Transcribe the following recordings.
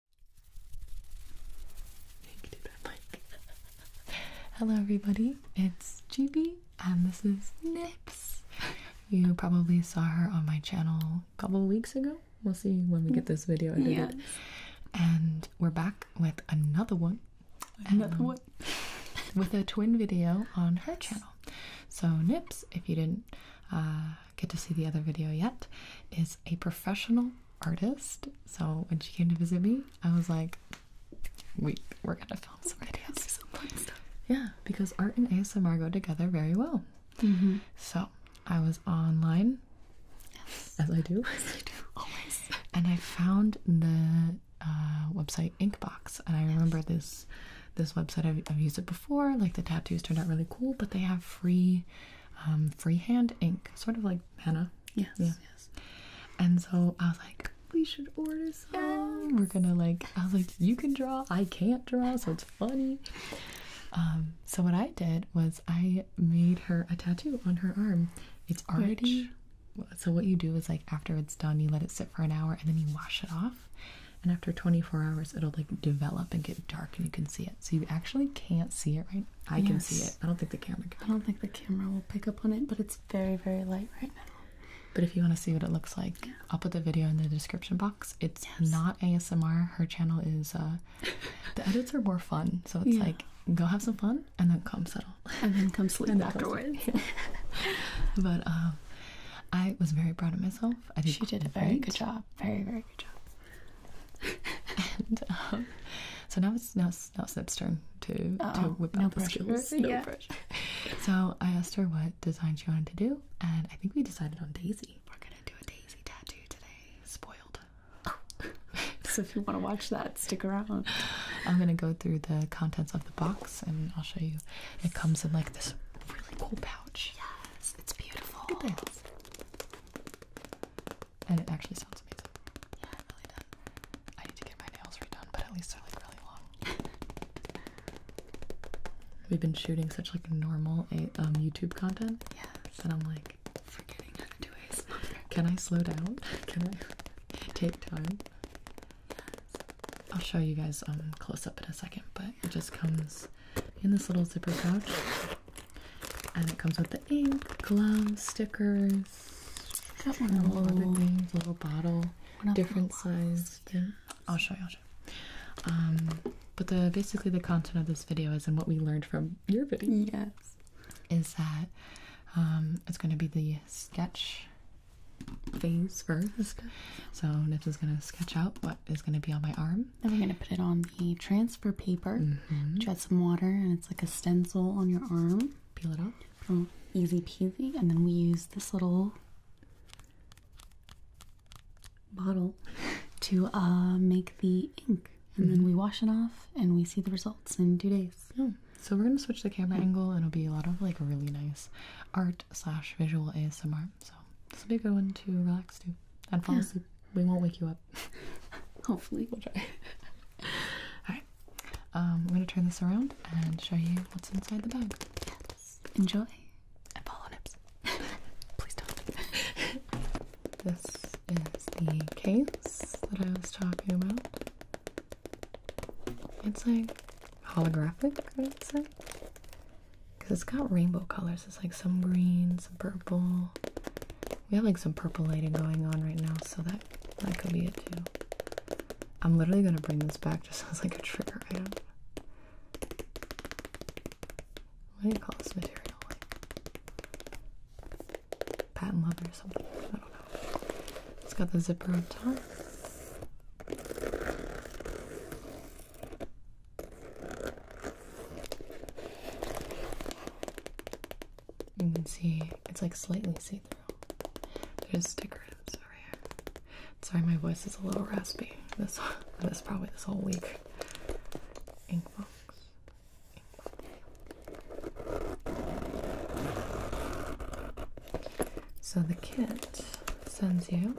Hello, everybody. It's GB, and this is Nips. You probably saw her on my channel a couple weeks ago. We'll see when we get this video edited. And we're back with another one. Another um, one. with a twin video on her channel. So, Nips, if you didn't uh, get to see the other video yet, is a professional artist. So when she came to visit me, I was like, we, we're gonna film some videos. Some fun stuff. Yeah, because art and ASMR go together very well. Mm-hmm. So I was online, as I do, as I do. always, and I found the uh, website Inkbox, and I remember this this website. I've used it before. Like the tattoos turned out really cool, but they have free um, freehand ink, sort of like henna. Yes, yeah. And so I was like, we should order some. We're gonna like, I was like, you can draw, I can't draw, so it's funny. Um, so what I did was I made her a tattoo on her arm. It's already. So what you do is like after it's done, you let it sit for an hour and then you wash it off. And after 24 hours, it'll like develop and get dark and you can see it. So you actually can't see it right I can see it. I don't think the camera I don't think the camera will pick up on it, but it's very, very light right now. But if you want to see what it looks like, I'll put the video in the description box. It's not ASMR. Her channel is, uh, the edits are more fun. So it's like, go have some fun and then come settle. And then come sleep and afterwards. but um, I was very proud of myself. I did She did a very good job. Very, very um, so now it's now it's, now it's turn to to whip out the pressure. skills. No yeah. so I asked her what design she wanted to do, and I think we decided on Daisy. We're gonna do a Daisy tattoo today. Spoiled. so if you want to watch that, stick around. I'm gonna go through the contents of the box, and I'll show you. It comes in like this really cool pouch. Yes, it's beautiful. Look at this and it actually sounds amazing. Yeah, really done. I need to get my nails redone, but at least they're like really long. We've been shooting such like normal um, YouTube content. Yes. That I'm like forgetting how to do this. Can I slow down? Can I take time? I'll show you guys um close up in a second, but it just comes in this little zipper pouch. And it comes with the ink, gloves, stickers, a little, bottle, different size. Yeah. I'll show you. Um, but the basically the content of this video is and what we learned from your video. Yes. Is that um, it's going to be the sketch phase first. So Nips is going to sketch out what is going to be on my arm then we're going to put it on the transfer paper. Mm mm-hmm. Just some water, and it's like a stencil on your arm. Peel it off. easy peasy. And then we use this little bottle to uh, make the ink. And then we mm-hmm. wash it off, and we see the results in two days. So we're going to switch the camera angle, and it'll be a lot of like really nice art slash visual ASMR. So this will be a good one to relax to and fall asleep. We won't wake you up. Hopefully, we'll try. All right, I'm um, gonna turn this around and show you what's inside the bag. Yes. Enjoy. Apollo Please don't. this is the case that I was talking about. It's like holographic, I would say, because it's got rainbow colors. It's like some greens some purple. We have like some purple lighting going on right now, so that that could be it too. I'm literally gonna bring this back just as like a trigger item. What do you call this material? Like patent leather or something. I don't know. It's got the zipper on top. You can see it's like slightly see through. There's stickers over here. Sorry, my voice is a little raspy. This this probably this whole week. Ink box. So the kit sends you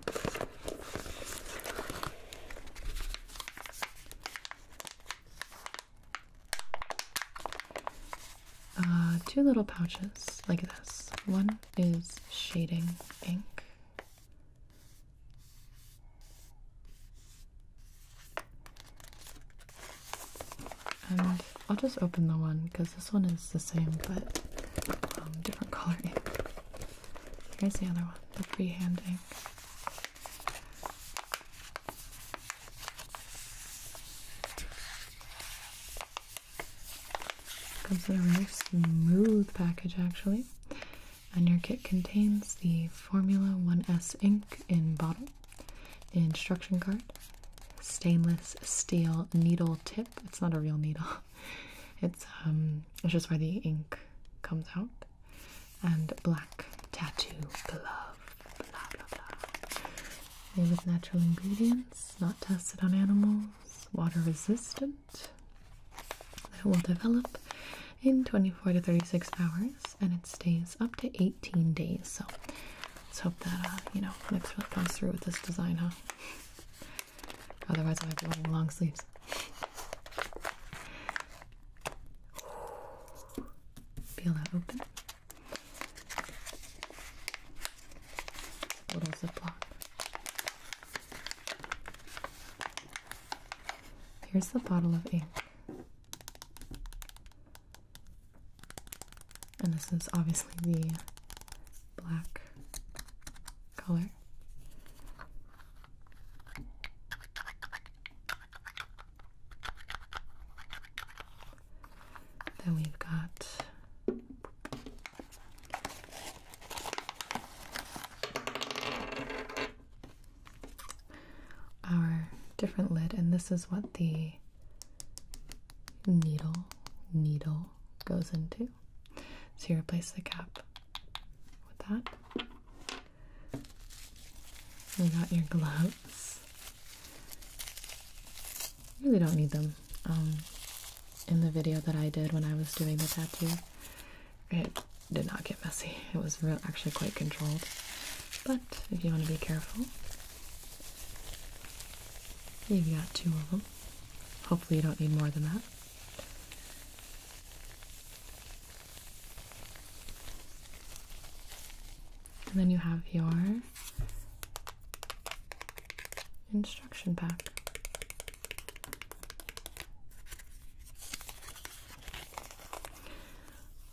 uh, two little pouches like this. One is shading ink. And I'll just open the one because this one is the same but um, different color Here's the other one, the freehand ink. Comes a very smooth package actually, and your kit contains the Formula 1S ink in bottle, instruction card, stainless steel needle tip. It's not a real needle. Um, it's just where the ink comes out and black tattoo glove. Blah blah blah. Made with natural ingredients, not tested on animals, water resistant. That will develop in 24 to 36 hours, and it stays up to 18 days. So let's hope that uh, you know next really comes through with this design, huh? Otherwise, i might be wearing long sleeves. Feel that open. Little ziplock. Here's the bottle of ink. And this is obviously the black color. Then we've got our different lid, and this is what the needle needle goes into. So you replace the cap with that. You got your gloves. You really don't need them. Um, in the video that I did when I was doing the tattoo, it did not get messy. It was actually quite controlled. But if you want to be careful, you've got two of them. Hopefully, you don't need more than that. And then you have your instruction pack.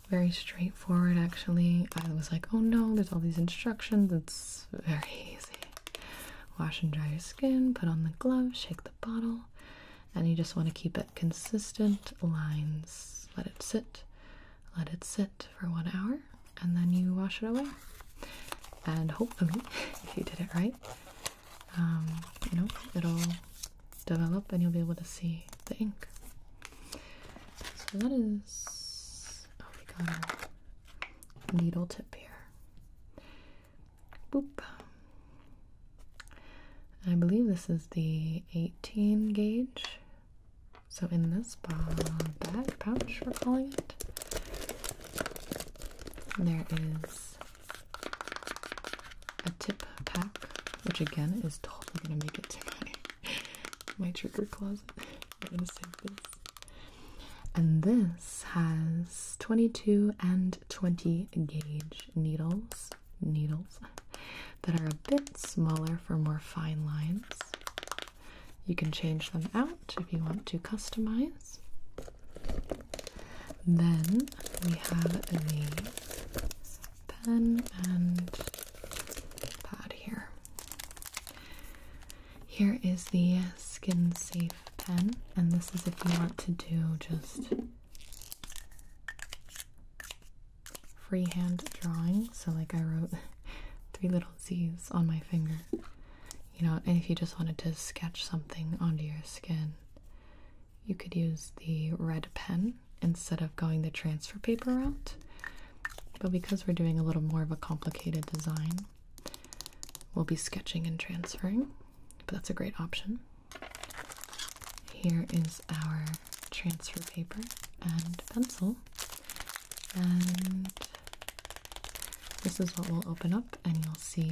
Very straightforward, actually. I was like, oh no, there's all these instructions. It's very easy. Wash and dry your skin, put on the glove, shake the bottle, and you just want to keep it consistent lines. Let it sit let it sit for one hour, and then you wash it away. And hopefully, if you did it right, um, you know, it'll develop and you'll be able to see the ink. So that is. Oh, we got a needle tip here. Boop. I believe this is the 18 gauge so in this bag pouch, we're calling it, there is a tip pack, which again is totally gonna make it to my, my trigger closet. I'm gonna save this. And this has 22 and 20 gauge needles needles that are a bit smaller for more fine lines. You can change them out if you want to customize. Then we have the pen and pad here. Here is the skin safe pen, and this is if you want to do just freehand drawing. So, like, I wrote three little Z's on my finger. You know, and if you just wanted to sketch something onto your skin, you could use the red pen instead of going the transfer paper route. But because we're doing a little more of a complicated design, we'll be sketching and transferring. But that's a great option. Here is our transfer paper and pencil. And this is what we'll open up, and you'll see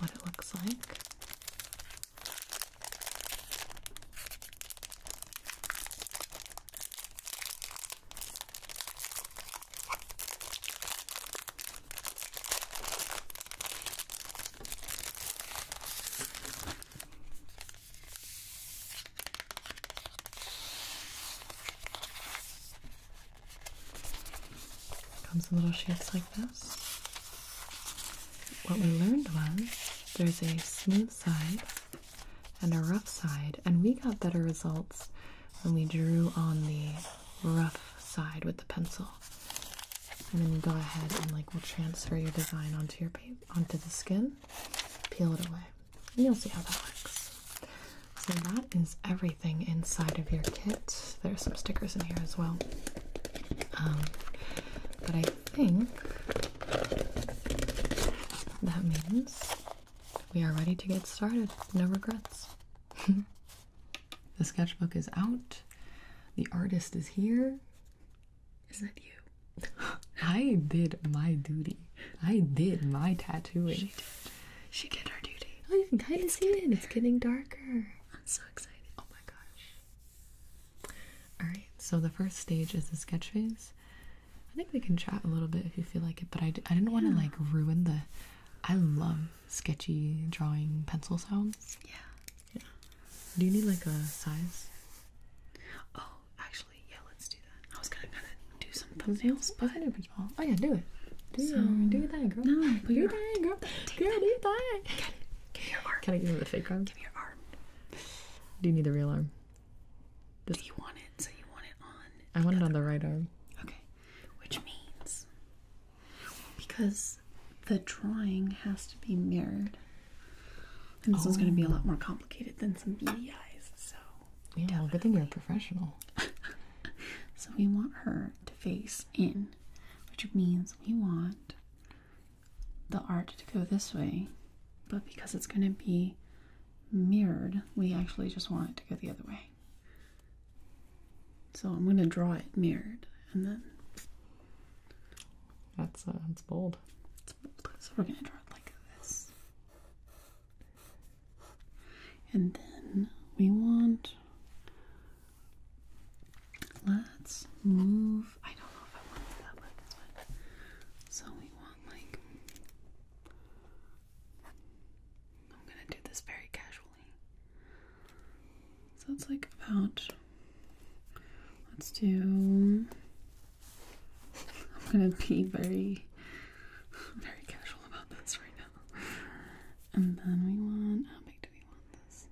what it looks like. Comes in little shapes like this. What we learned was there's a smooth side and a rough side, and we got better results when we drew on the rough side with the pencil. And then you go ahead and like will transfer your design onto your paper onto the skin, peel it away, and you'll see how that works. So that is everything inside of your kit. There are some stickers in here as well. Um, but I think that means we are ready to get started. No regrets. the sketchbook is out. The artist is here. Is that you? I did my duty. I did my tattooing. She did. She did her duty. Oh, you can kind of see it. It's getting darker. I'm so excited. Oh my gosh. Alright, so the first stage is the sketch phase. I think we can chat a little bit if you feel like it, but I d I didn't want to like ruin the. I love sketchy drawing pencil sounds. Yeah. Do you need like a size? Oh, actually, yeah, let's do that. I was gonna kind of do some thumbnails, but oh yeah, do it. Do it. do your thing, girl. No, do your thing, girl. Take girl, do your thing. Get it. Give me your arm. Can I give you the fake arm? Give me your arm. Do you need the real arm? Do you want it? So you want it on? I want it on the right arm. Okay, which means because the drawing has to be mirrored this oh. one's going to be a oh. lot more complicated than some beady eyes. So yeah, definitely. good thing you're a professional. so we want her to face in, which means we want the art to go this way, but because it's going to be mirrored, we actually just want it to go the other way. So I'm going to draw it mirrored, and then that's uh, that's bold. So we're going to draw it like this. And then we want, let's move, I don't know if I want that way, that's fine. So we want like, I'm going to do this very casually. So it's like about, let's do I'm gonna be very, very casual about this right now. And then we want how big do we want this?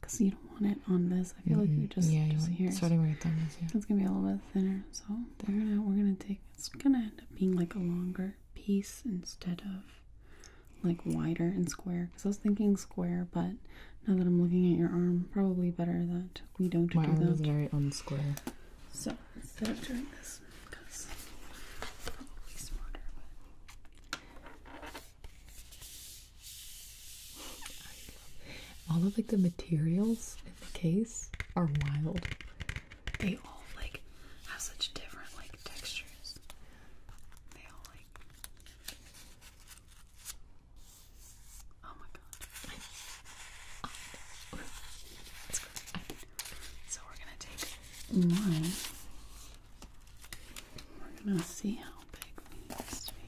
Cause you don't want it on this. I feel like you just yeah, just here. Starting right down this, yeah. It's gonna be a little bit thinner. So we're gonna take. It's gonna end up being like a longer piece instead of like wider and square. Cause I was thinking square, but now that I'm looking at your arm, probably better that we don't do arm that. My arm is very unsquare. So instead of doing this, because probably smarter, all of like the materials in the case are wild. They all like have such different like textures. They all like Oh my god. So we're gonna take one. We're gonna see how big we need to be.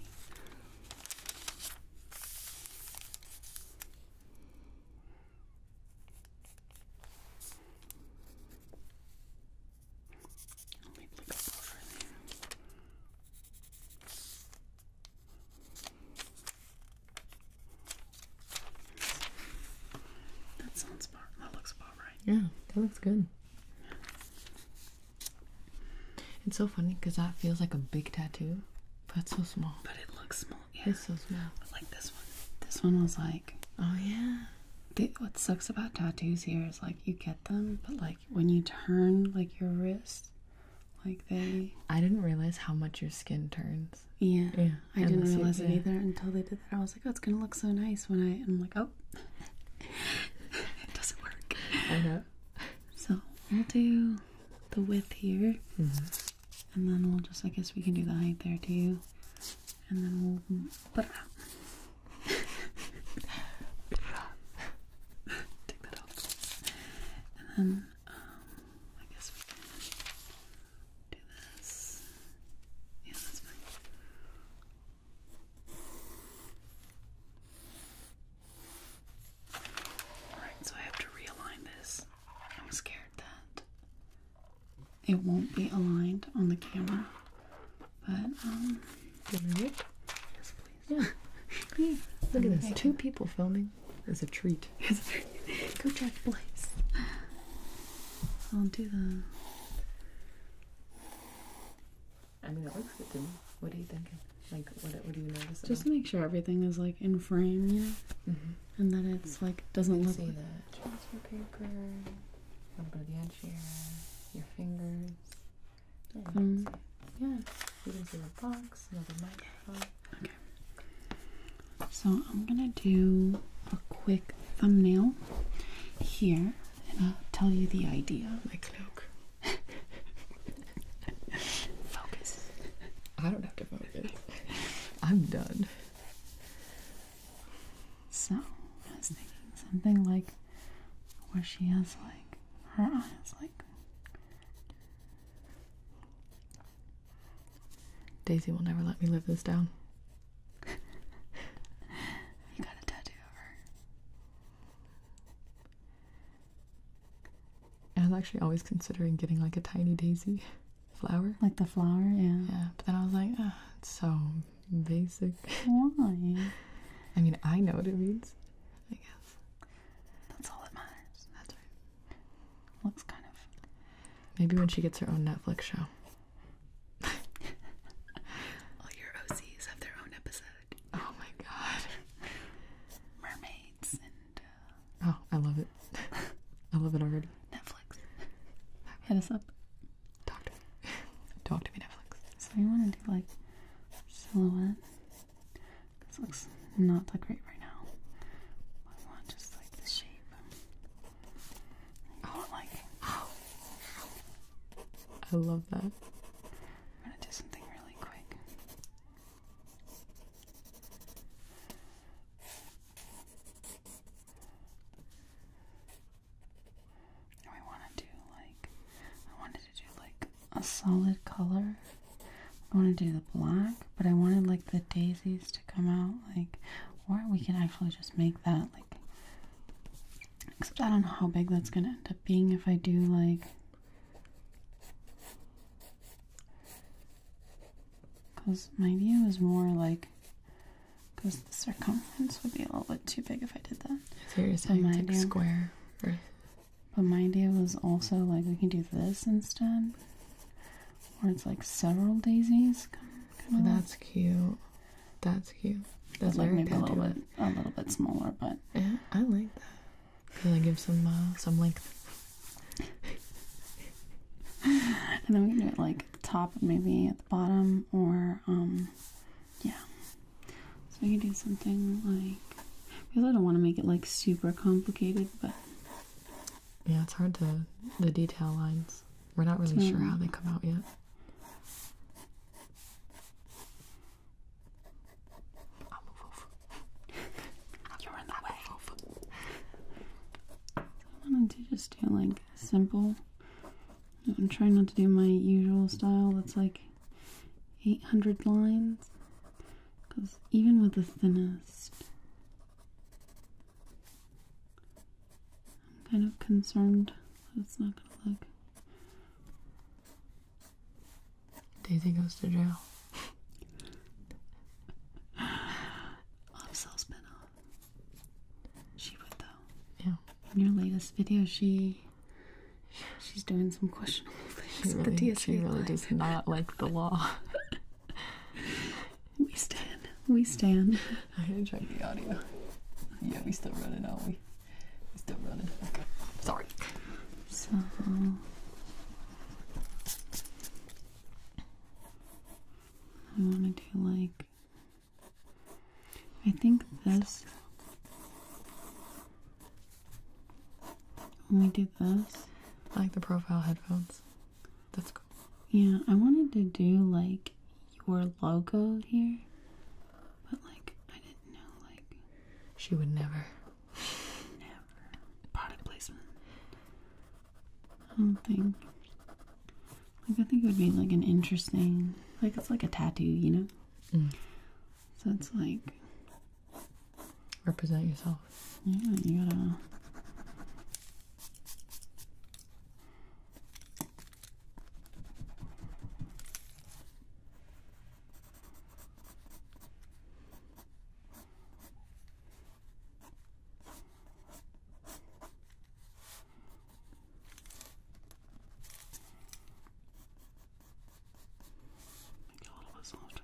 That sounds about, that looks about right. Yeah, that looks good. It's so funny because that feels like a big tattoo, but it's so small. But it looks small, yeah. It's so small. But like this one. This one was like, oh yeah. what sucks about tattoos here is like you get them, but like when you turn like your wrist like they I didn't realize how much your skin turns. Yeah. Yeah. I didn't realize it either until they did that. I was like, Oh, it's gonna look so nice when I I'm like, Oh it doesn't work. So we'll do the width here. Mm-hmm. And then we'll just I guess we can do the height there too. And then we'll put it up. take that off. And then, um, I guess do this. Yeah, that's fine. Alright, so I have to realign this. I'm scared that it won't be aligned on the camera, but um, give it. Yes, please. Yeah. Look at this. Two people filming is a treat. Go check place. I'll do the. I mean, it looks good to me. What are you thinking? Like, what, do you notice? Just make sure everything is like in frame, you know, mm-hmm. and that it's like doesn't look. See like that transfer paper. A little bit of the edge here. Your fingers. Mm. So I'm gonna do a quick thumbnail here, and I'll tell you the idea. My cloak. focus. I don't have to focus. I'm done. So I was thinking something like where she has like her eyes like Daisy will never let me live this down. you got a tattoo of her. I was actually always considering getting like a tiny daisy flower. Like the flower, yeah. Yeah, but then I was like, oh, it's so basic. Why? I mean, I know what it means, I guess. That's all that matters. That's right. Looks kind of. Maybe when she gets her own Netflix show. all your OCs have their own episode. Oh my god. Mermaids and. Uh, oh, I love it. I love it already. Netflix. Hit us up. Talk to me. Talk to me, Netflix. So you want to do like silhouettes? This looks not that great right now. I want just like the shape. Oh, like. I love that. I'm gonna do something really quick. I wanted to do like a solid color. I want to do the black, but I wanted like the daisies to come out, like, or we can actually just make that like. Except I don't know how big that's gonna end up being if I do like. Because my view is more like. Because the circumference would be a little bit too big if I did that. Seriously, so my like square. Or but my idea was also like we can do this instead, where it's like several daisies. Oh, that's cute. That's cute. That's like maybe a little bit, a little bit smaller, but yeah, I like that. Cause I give some uh, some length. and then we can do it like top, maybe at the bottom, or um, yeah, so you do something like because I don't want to make it like super complicated, but yeah, it's hard to the detail lines. We're not really sure how they come out yet. You're in the way. I wanted to just do like simple. I'm trying not to do my usual style that's like 800 lines. Because even with the thinnest, I'm kind of concerned that it's not going to look. Daisy goes to jail. Love Cell spin She would, though. Yeah. In your latest video, she She's doing some questionable things she really, the DSA. She does not like the law. we stand. We stand. I'm gonna check the audio. Yeah, we still running, are we? We still running. Okay. Sorry. So. I want to do like. I think this. When we do this, I like the profile headphones. That's cool. Yeah, I wanted to do like your logo here, but like I didn't know. Like she would never, never product placement. I don't think. Like I think it would be like an interesting, like it's like a tattoo, you know. Mm. So it's like represent yourself. Yeah, you gotta. Make it a little bit softer.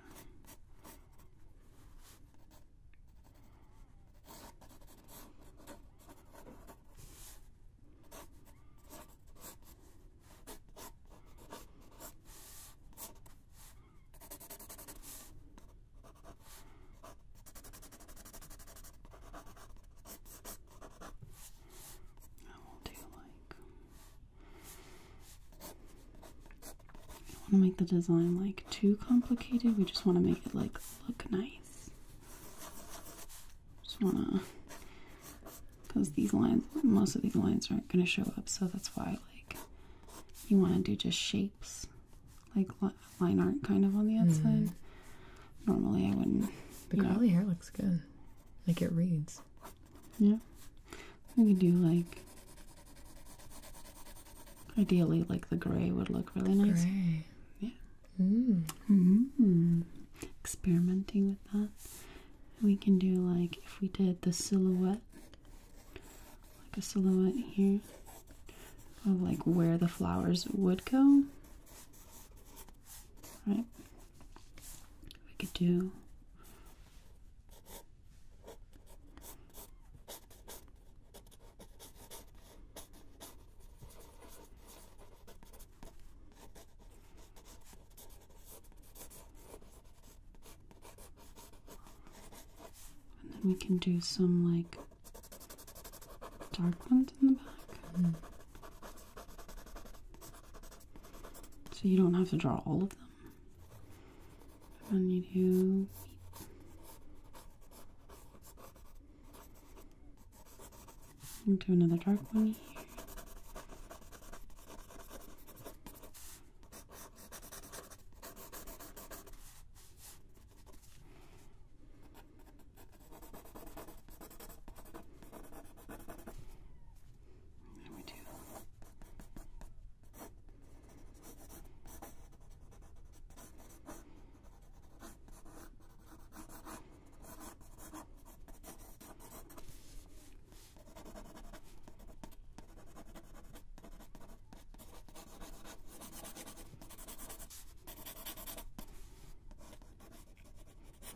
I will do like I don't want to make the design like too complicated. We just want to make it like look nice. Just want to because these lines, most of these lines aren't going to show up, so that's why like you want to do just shapes, like line art kind of on the outside. Mm-hmm. Normally I wouldn't. But curly the hair looks good, like it reads. Yeah. We could do like ideally like the gray would look really nice. Gray. Yeah. Mm. Mm-hmm. Experimenting with that. We can do like if we did the silhouette, like a silhouette here of like where the flowers would go. Right. We could do and then we can do some like dark ones in the back. Mm-hmm. So you don't have to draw all of them. I am going to need and do another dark one here. There we do.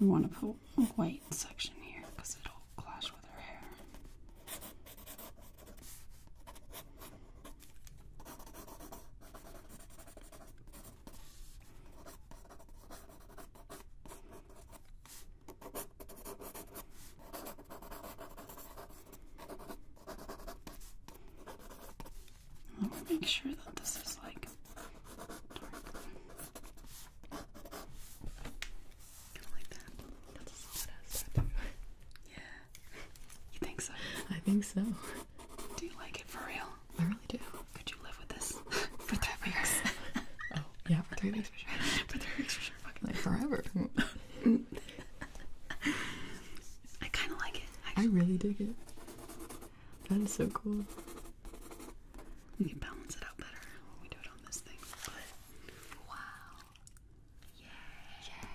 We want to put a white section here because it will do with her hair. make sure that this is like Kind of like that. That's a solid yeah. You think so? I think so. Do you like it for real? I really do. Could you live with this for three weeks? oh, yeah, for three weeks for sure. for three weeks for sure. Fucking like forever. I kind of like it. I really dig it. That is so cool. We can balance it out better when we do it on this thing. But wow, Yay.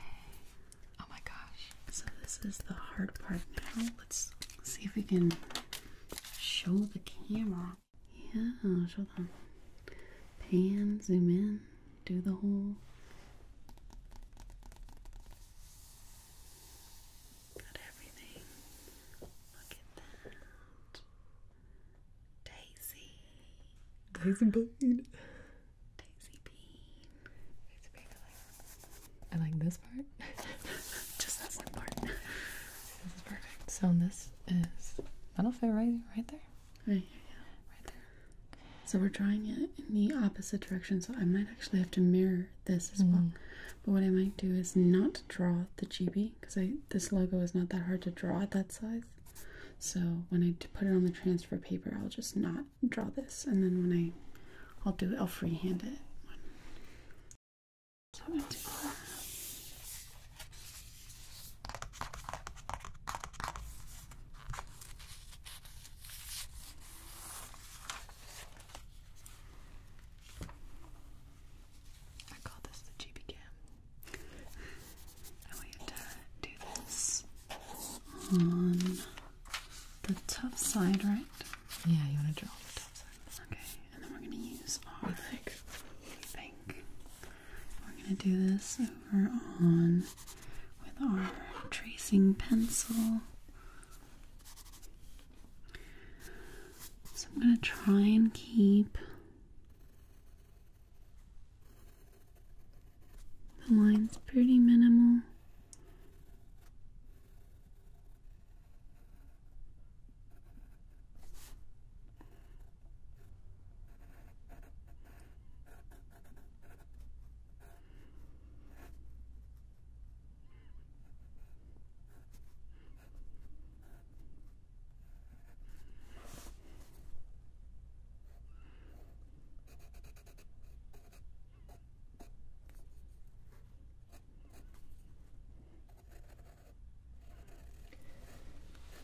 Oh my gosh. So this is the hard part now. Let's see if we can show the camera. Yeah, show them. Pan, zoom in, do the whole. Got everything. Look at that. Daisy. Daisy Bean. Daisy Bean. Daisy Bean. I like this part. Just that one part. This is perfect. So this is that'll fit right right there. Right here, yeah. Right there. So we're drawing it in the opposite direction, so I might actually have to mirror this as mm. well. Mm-hmm. But what I might do is not draw the GB because I this logo is not that hard to draw at that size. So when I put it on the transfer paper, I'll just not draw this, and then when I, I'll do it. I'll freehand it. i call this the GB cam. I want you to do this on the tough side, right? Yeah, you want to draw the tough side. Okay, and then we're going to use our think. We're going to do this over on with our tracing pencil. So I'm going to try and keep the line's pretty minimal.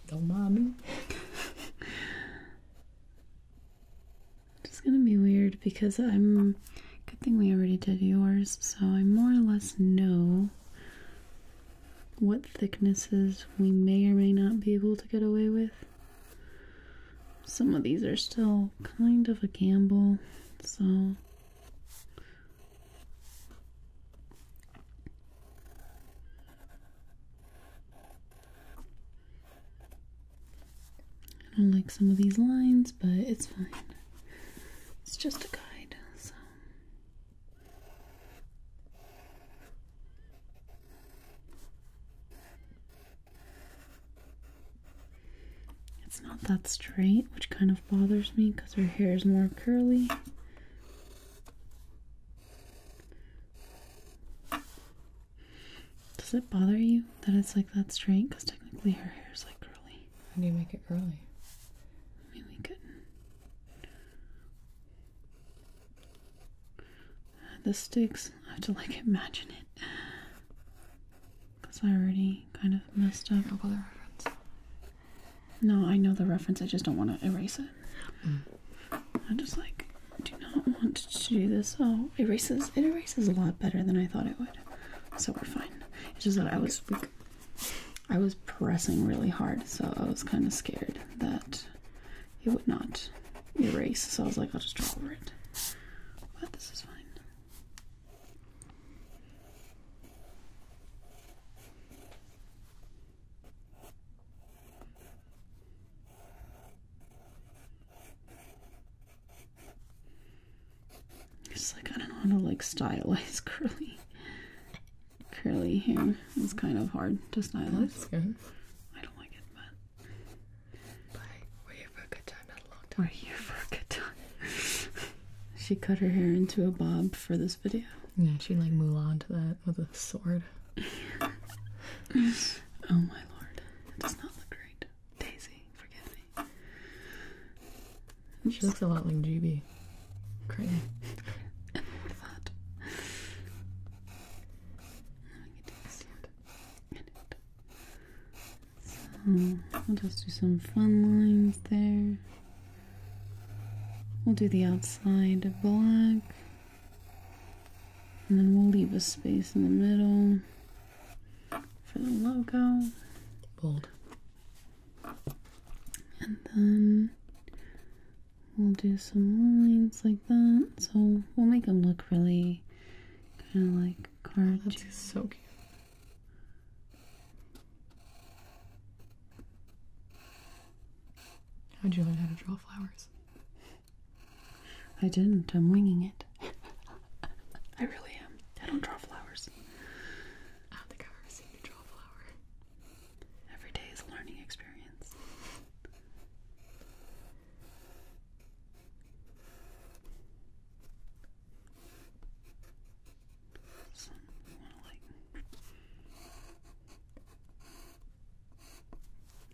Don't mind me. It's gonna be weird because I'm. Good thing we already did yours, so I more or less know what thicknesses we may or may not be able to get away with. Some of these are still kind of a gamble, so. I don't like some of these lines, but it's fine. It's just a guide, so. It's not that straight, which kind of bothers me because her hair is more curly. Does it bother you that it's like that straight? Because technically her hair is like curly. How do you make it curly? I mean, we could the sticks. I have to like imagine it. Because I already kind of messed up. No I know the reference. I just don't want to erase it. I just like do not want to do this. Oh, erases. It erases a lot better than I thought it would. So we're fine. It's just that I was I was pressing really hard, so I was kind of scared that it would not erase, so I was like, I'll just draw over it. But this is fine. It's like I don't know how to like stylize curly curly hair. It's kind of hard to stylize don't like Bye. We're for a good time, not a long time. We're for a good time. she cut her hair into a bob for this video. Yeah, she like Mulan to that with a sword. oh my lord. It does not look great. Daisy, forgive me. She looks a lot like GB. Crazy. we'll just do some fun lines there. We'll do the outside black. And then we'll leave a space in the middle for the logo. Bold. And then We'll do some lines like that. So we'll make them look really kind of like cartoon. Oh, that's so cute. How'd you learn how to draw flowers? I didn't. I'm winging it. I really am. I don't draw flowers. I don't you draw a Every day is a learning experience.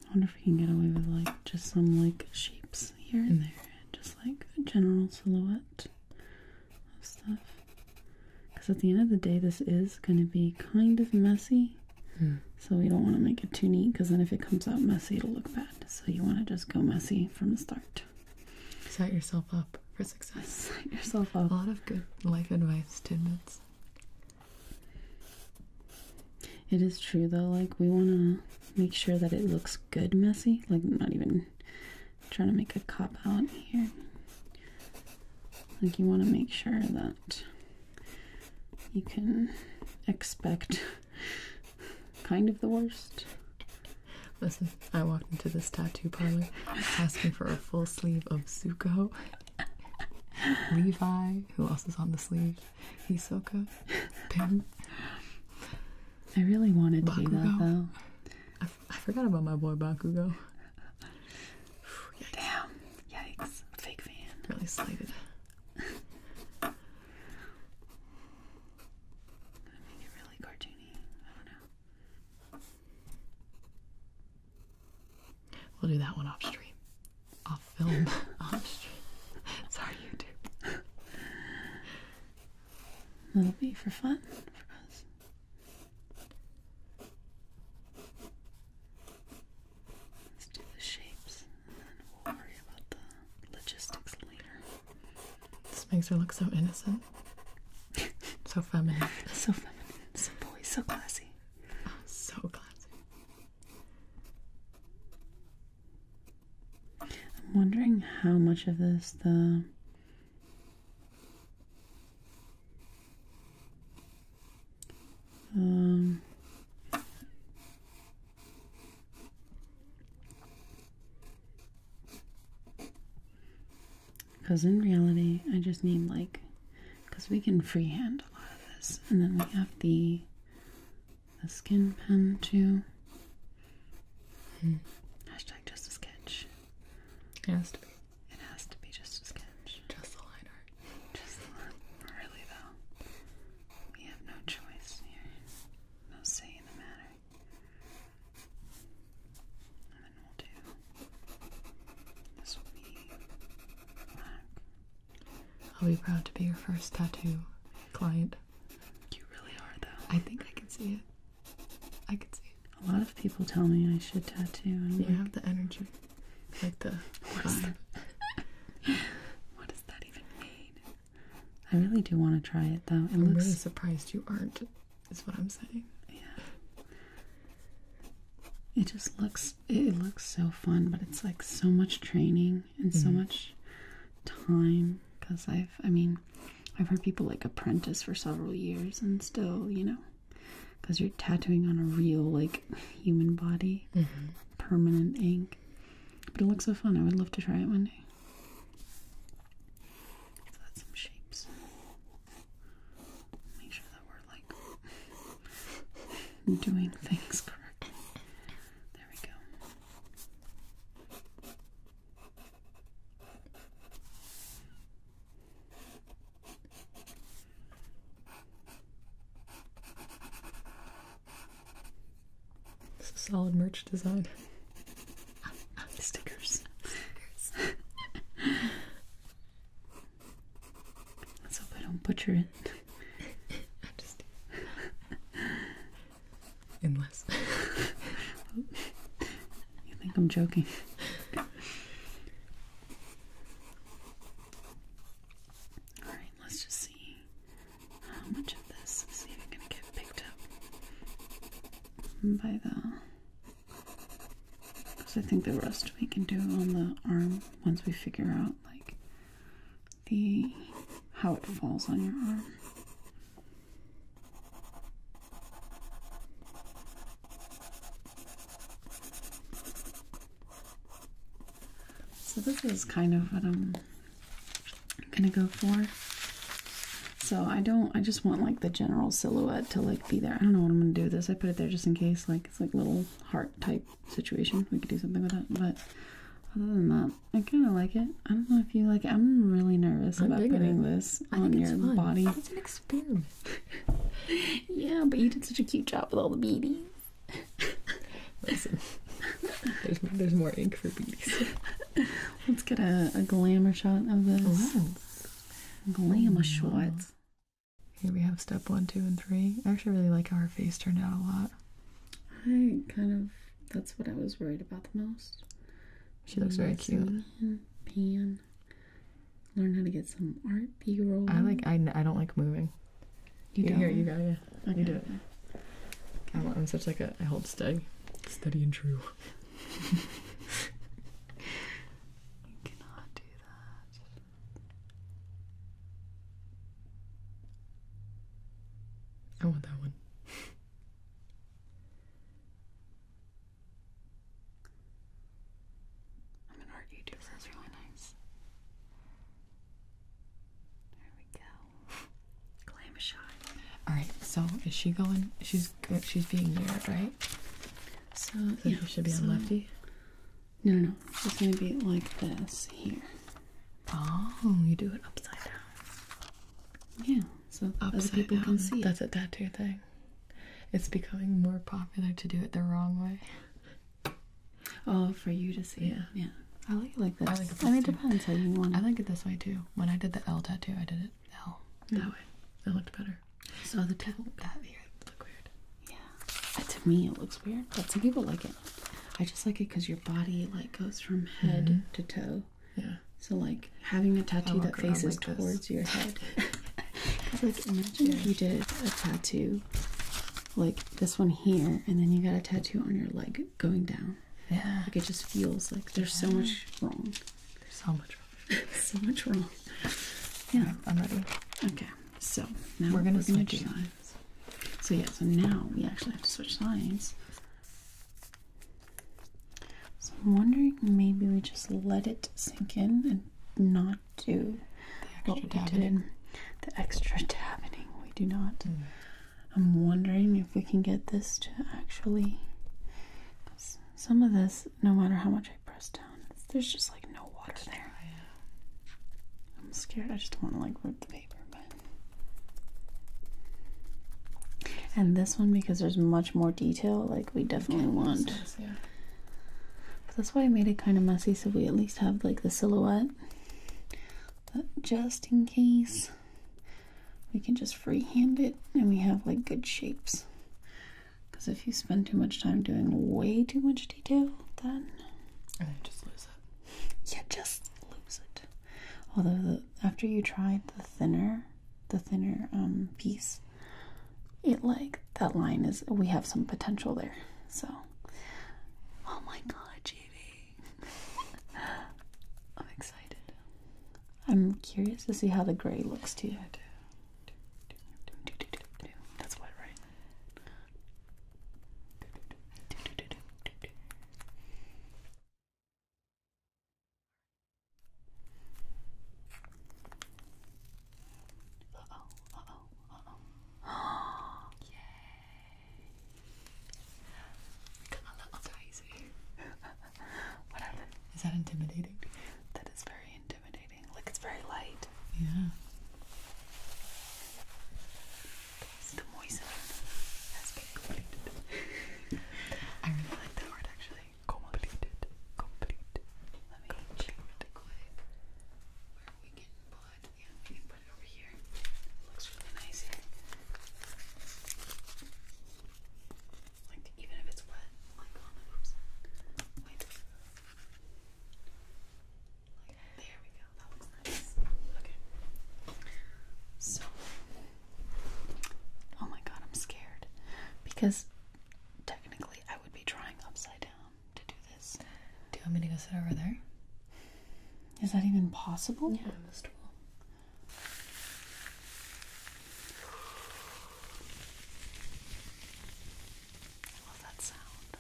I wonder if we can get away with like just some like shapes here and there, just like a general silhouette of stuff. Because at the end of the day, this is going to be kind of messy. So we don't want to make it too neat because then if it comes out messy, it'll look bad. So you want to just go messy from the start. Set yourself up for success. Set yourself up. A lot of good life advice tidbits. It is true though, like we want to make sure that it looks good messy. Like, not even trying to make a cop out here. Like you want to make sure that you can expect kind of the worst. Listen, I walked into this tattoo parlor asking for a full sleeve of Zuko. Levi, who else is on the sleeve? Hisoka, Pim. I really wanted to Bakugo. that though. I, I forgot about my boy Bakugo. Damn. Yikes. Fake fan. Really slated make it really cartoony. I don't know. We'll do that one off stream. Off film. off stream. Sorry, YouTube. That'll be for fun for us. Let's do the shapes and then we'll worry about the logistics later. This makes her look so innocent. so feminine. so feminine. So boy, so classy. so classy. I'm wondering how much of this the um, because in reality, I just need like, because we can freehand a lot of this, and then we have the the skin pen too. Hmm. Hashtag just a sketch. It has to be. It has to be just a sketch. Just a art. Just really though, we have no choice here, no say in the matter. And then we'll do this will be black. I'll be proud to be your first tattoo client. You really are though. I think I can see it. I can see it. A lot of people tell me I should tattoo. And you have the energy like the what is, that? even mean? I really do want to try it though. It I'm really surprised you aren't, is what I'm saying. Yeah. It just looks it looks so fun, but it's like so much training and so mm-hmm. much time because I've I mean I've heard people like apprentice for several years and still, you know, because you're tattooing on a real like human body. Mm-hmm permanent ink. But it looks so fun. I would love to try it one day. some shapes. Make sure that we're like doing things correctly. There we go. It's a solid merch design. Stickers. Stickers. Let's hope I don't butcher it. Unless. you think I'm joking. Alright, let's just see how much of this is even going to get picked up by the. Because I think the rest we can do on the arm once we figure out like the how it falls on your arm. So this is kind of what I'm gonna go for. So I don't, I just want like the general silhouette to like be there. I don't know what I'm gonna do with this. I put it there just in case, like it's like little heart type situation. We could do something with that, but other than that, I kind of like it. I don't know if you like I'm really nervous about putting this on your body. It's an experiment. yeah, but you did such a cute job with all the beadings. Listen, there's, there's more ink for bees. Let's get a, a glamour shot of this. Ooh. Glamour oh. Here we have step one, two, and three. I actually really like how her face turned out a lot. I kind of, that's what I was worried about the most. She looks very cute. Pan. Learn how to get some art B roll. I like, I, I don't like moving. You do. Here, you Yeah, okay. you do it. Okay. I'm, such like a I hold steady, steady and true. you cannot do that. I want that one. I'm an art YouTuber. This is really nice. There we go. Glam shot. All right. So is she going? She's she's being mirrored, right? So, so yeah. She should be so, on lefty. No, no, no. It's gonna be like this here. Oh, you do it upside down. Yeah. So upside other people can see. That's a tattoo thing. It's becoming more popular to do it the wrong way. Oh, for you to see. Yeah, yeah. I like it like this. I, like it this mean, depends how you want. I like it this way too. When I did the L tattoo, I did it L that mm. way. It looked better. So the people here look weird. Yeah, to me it looks weird, but some people like it. I just like it because your body like goes from head mm-hmm. to toe. Yeah. So like having a tattoo that faces towards your head. like you did a tattoo like this one here, and then you got a tattoo on your leg going down. Yeah. Like it just feels like there's so much wrong. There's so much wrong. so much wrong. Yeah. I'm ready. Okay. So now we're gonna, switch lines. So yeah, so now we actually have to switch lines. So I'm wondering maybe we just let it sink in and not do the extra what we dabbing. we do not. Mm. I'm wondering if we can get this to actually. Some of this, no matter how much I press down, there's just like no water there. I'm scared. I just want to like rip the paper, And this one, because there's much more detail, like we definitely want. that's why I made it kind of messy, so we at least have like the silhouette but just in case we can just freehand it and we have like good shapes because if you spend too much time doing way too much detail then I just lose it yeah just lose it although after you tried the thinner the thinner um, piece it like that line is we have some potential there so oh my god Judy I'm excited. I'm curious to see how the gray looks to you. That's what, right? Uh oh, oh, oh. Yay. A little dicey. what happened? Is that intimidating? That is very intimidating. Like it's very light. Yeah. the moistening. has completed. I really like that word actually. Completed. Complete. Let me check really quick where we can it. Yeah, we can put it over here. looks really nice here. Like even if it's wet, Wait. there we go. That looks nice. Okay. So Oh my god, I'm scared. Because technically I would be drawing upside down to do this. Do you want me to go sit over there? Is that even possible? Yeah, most of I that sound.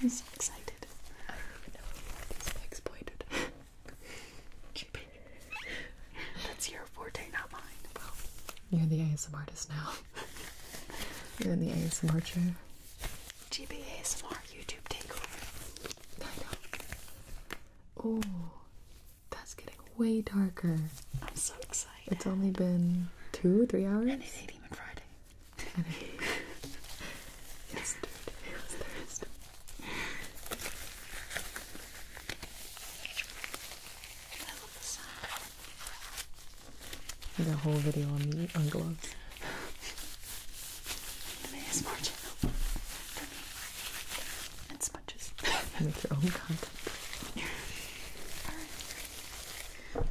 I'm so excited. I don't even know where these pegs pointed. That's your forte, not mine. Well, you're the ASMR artist now. you're in the ASMR chair. GB ASMR YouTube takeover. Light up. Oh, that's getting way darker. I'm so excited. It's only been two, three hours? And it's ain't even Friday. And it it was The whole video on the on gloves. ASMR channel and sponges. Make your own content.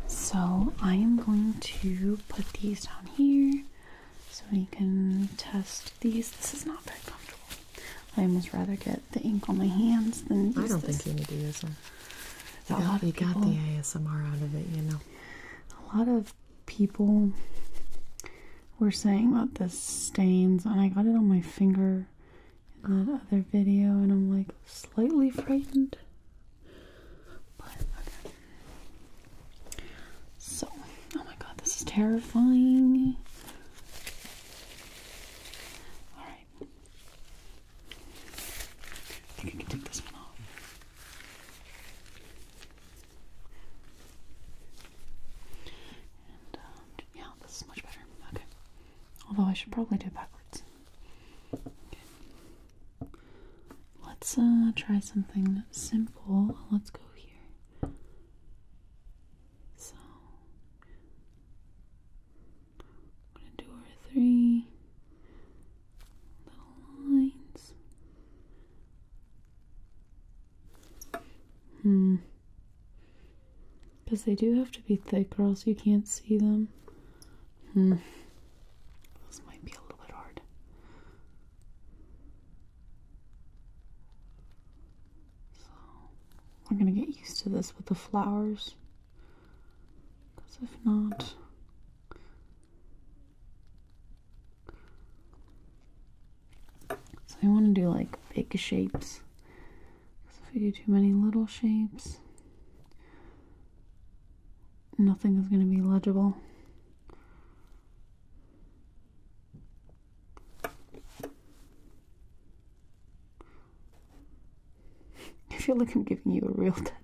So I am going to put these down here so we can test these. This is not very comfortable. I almost rather get the ink on my hands than use I don't think you need to use them. You got, you got the ASMR out of it, you know. A lot of people were saying about the stains, and I got it on my finger in that other video, and I'm like slightly frightened. So, oh my god, this is terrifying. Alright. think I can take this one off. Um, yeah, this is much better. Okay. Although I should probably do it backwards. Okay. Let's uh, try something simple. Let's go here. So I'm gonna do our three little lines. Hmm. Because they do have to be thick, or else you can't see them. Hmm. This might be a little bit hard. So, we're gonna get used to this with the flowers. Because if not, so I want to do like big shapes. if we do too many little shapes, nothing is going to be legible. I feel like I'm giving you a real tattoo.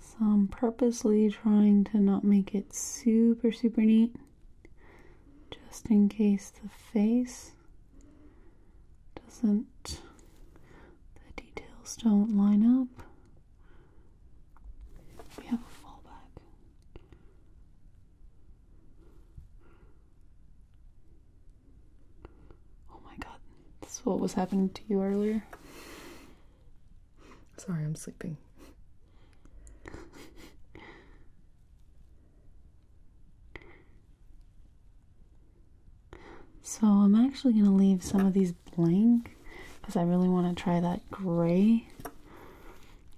So I'm purposely trying to not make it super, super neat, just in case the face doesn't, the details don't line up. We have a fallback. Oh my god, this is what was happening to you earlier. Sorry, I'm sleeping. so, I'm actually going to leave some of these blank because I really want to try that gray.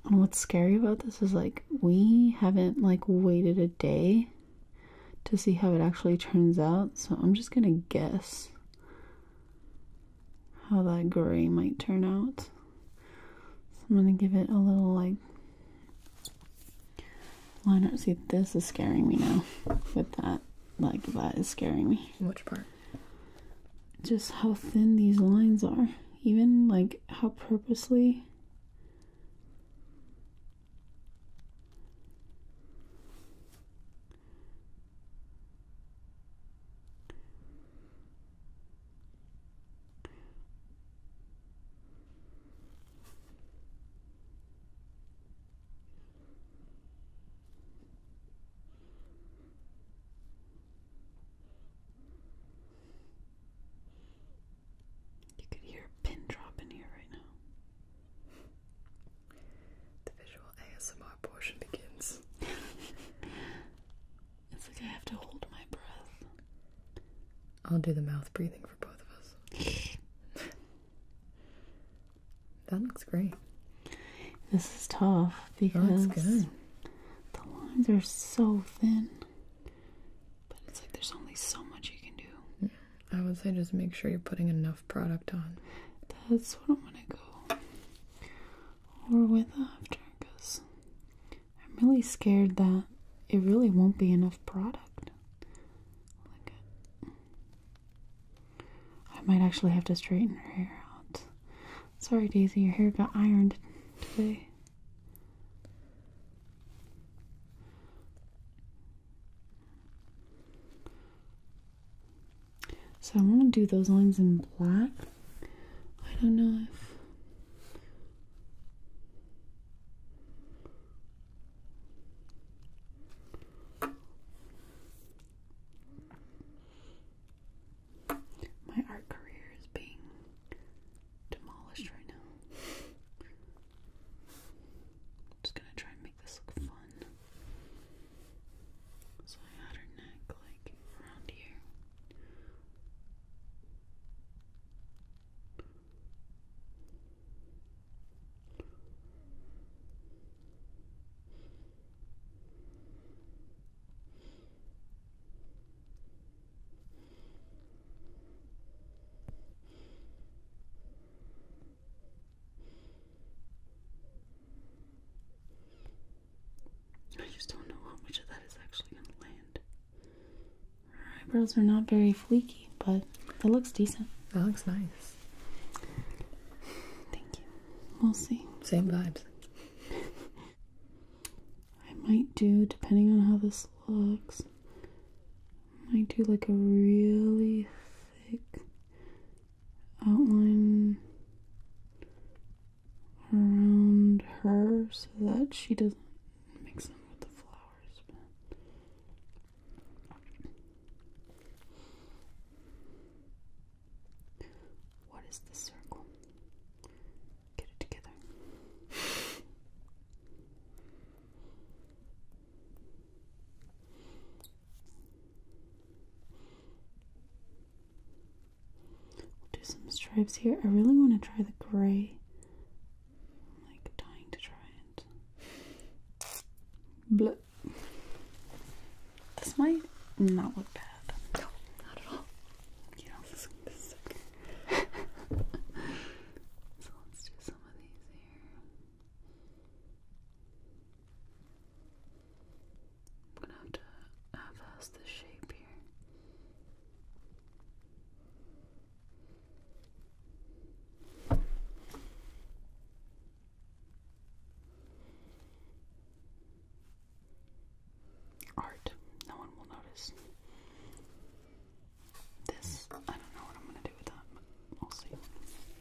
And what's scary about this is like we haven't like waited a day to see how it actually turns out, so I'm just gonna guess how that gray might turn out. So I'm gonna give it a little like don't See, this is scaring me now with that. Like, that is scaring me. Which part? Just how thin these lines are. Even like how purposely you could hear a pin drop in here right now. The visual ASMR portion begins. it's like I have to hold my breath. I'll do the mouth breathing for both of us. that looks great. This is tough because the lines are so thin. But it's like there's only so much you can do. I would say just make sure you're putting enough product on. That's what I'm gonna go over with after because I'm really scared that it really won't be enough product. Look I might actually have to straighten her hair out. Sorry, Daisy, your hair got ironed today. So I want to do those lines in black. I don't know if. My art career is being demolished right now. just gonna try this look fun. So I had her neck like around here. I just don't know how much of that is actually going to land. Her eyebrows are not very fleeky, but it looks decent. That looks nice. Thank you. We'll see. Same vibes. I might do, depending on how this looks, I might do like a really thick outline around her so that she doesn't mix them with the flowers. what is this circle? Get it together do some stripes here. I really want to try the gray. I'm like dying to try it. Bleh. This might not look bad. No, not at all. You this, is okay. so let's do some of these here. I'm gonna have to half-ass shape here. Art, no one will notice. This, I don't know what I'm gonna do with that, we'll see.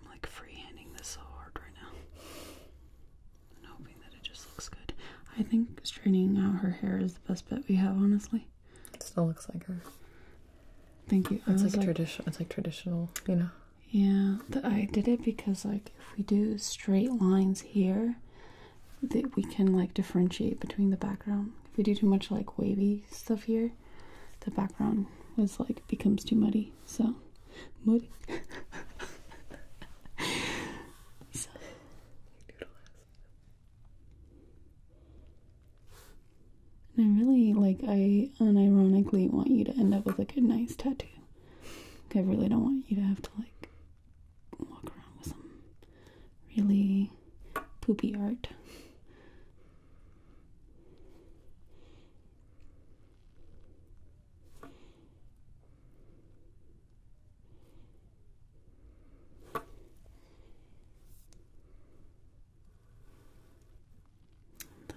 I'm like freehanding this so hard right now. And hoping that it just looks good. I think straightening out her hair is the best bet we have, honestly. It still looks like her. Thank you. It's like, traditional. It's like traditional, you know. Yeah, I did it because like if we do straight lines here, that we can like differentiate between the background. If we do too much like wavy stuff here, the background was like becomes too muddy. So muddy. and I really like I unironically want you to end up with like a nice tattoo. I really don't want you to have to like walk around with some really poopy art.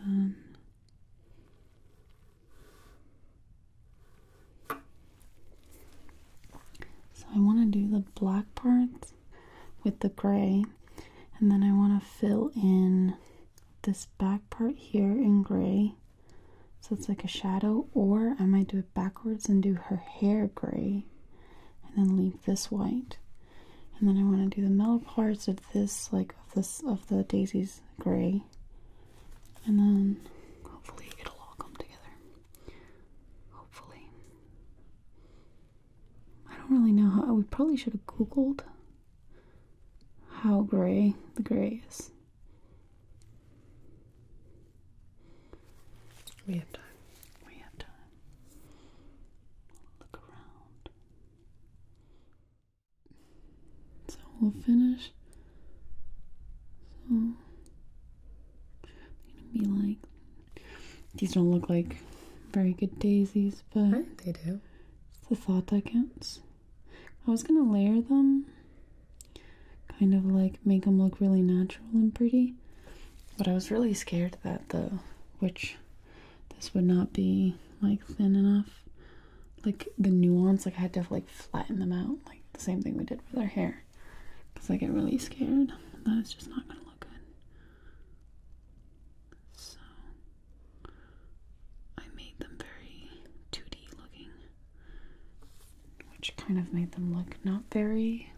Then so I want to do the black parts with the gray and then I want to fill in this back part here in gray so it's like a shadow or I might do it backwards and do her hair gray and then leave this white and then I want to do the middle parts of this like of this of the daisies gray and then hopefully it'll all come together hopefully I don't really know how. We probably should have Googled how gray the gray is. We have time. We have time. Look around. So we'll finish. So gonna be like, these don't look like very good daisies, but they do the thought that counts. I was gonna layer them, kind of like make them look really natural and pretty, but I was really scared that the which this would not be like thin enough. Like the nuance, like I had to like flatten them out, like the same thing we did with our hair. Because I get really scared that it's just not gonna look good. So I made them very 2D looking, which kind of made them look not very,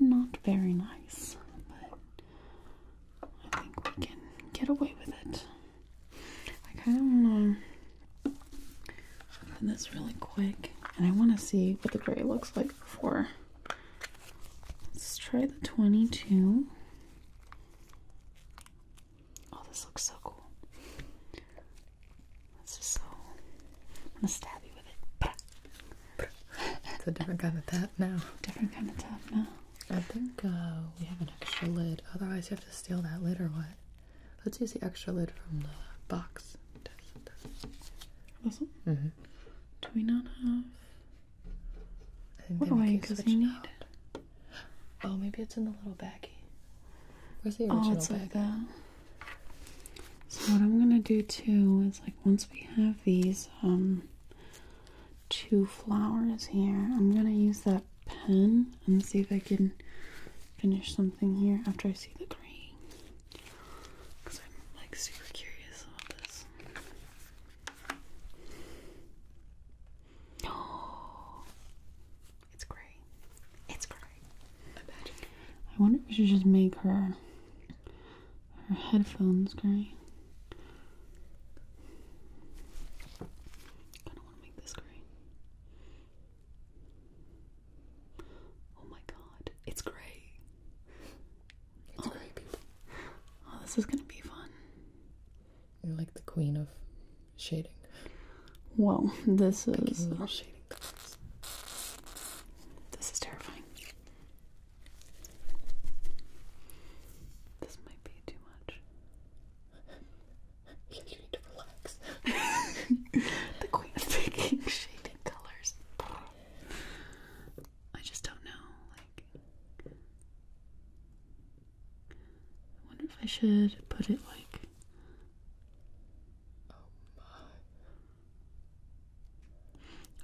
not very nice, but I think we can get away with it. I kind of want to open this really quick, and I want to see what the gray looks like before. Let's try the 22. Oh, this looks so cool. This is so. I'm gonna stab you with it. it's a different kind of tap now. Different kind of tap now. I think uh, we have an extra lid. Otherwise, you have to steal that lid or what? Let's use the extra lid from the box. This one? Mm-hmm. Do we not have? What oil does he need? Oh, maybe it's in the little baggie. Where's the oh, original oh, it's baggie? Like that. So what I'm gonna do too is like once we have these um, two flowers here, I'm gonna use that pen and see if I can finish something here after I see the green. Cause I'm like super curious about this. Oh, it's gray. It's gray. Imagine. I wonder if we should just make her her headphones gray. I don't want to make this gray. Oh my god, it's gray. It's oh. people. this is gonna be fun. You're like the queen of shading. Whoa, this is uh, shading colors. This is terrifying. This might be too much. you need to relax. the queen of picking shading colors. I just don't know. Like, I wonder if I should put it like.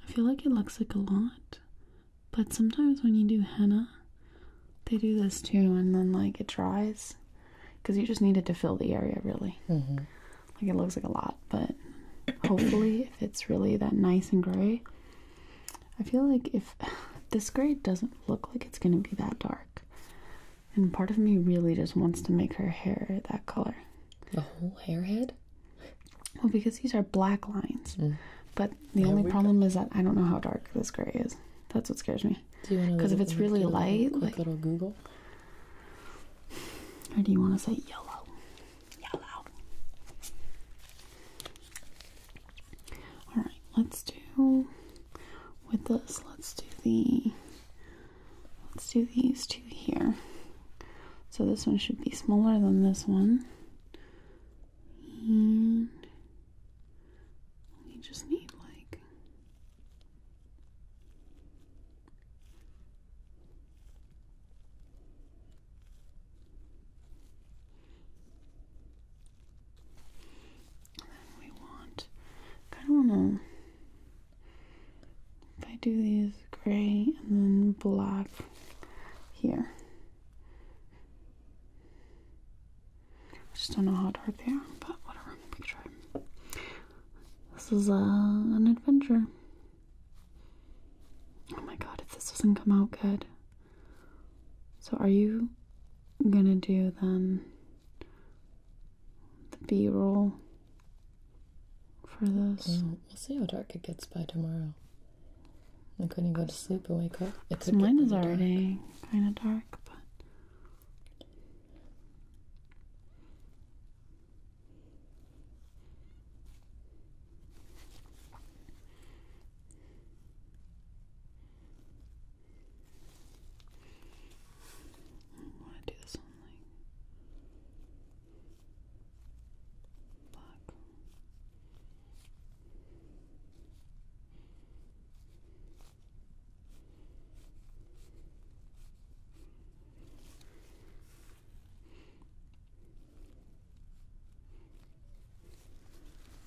I feel like it looks like a lot, but sometimes when you do henna, they do this too, and then like it dries, because you just need it to fill the area really. Mm-hmm. Like it looks like a lot, but hopefully, if it's really that nice and gray, I feel like if this gray doesn't look like it's going to be that dark, and part of me really just wants to make her hair that color. The whole hair head? Well, because these are black lines, mm. but the only problem is that I don't know how dark this gray is. That's what scares me. Because if it's really light, like little Google, or do you want to say yellow? Yellow. Alright, let's do with this, let's do the let's do these two here. So this one should be smaller than this one. And we just need like and then we want, kind of want to, if I do these gray and then black here. I just don't know how dark they are, but whatever, we can try. This is uh, an adventure. Oh my god, if this doesn't come out good. So, are you gonna do then the B roll for this? we'll see how dark it gets by tomorrow. Like when you go to sleep and wake up, it's so mine is already kind of dark, I want to do this on like black.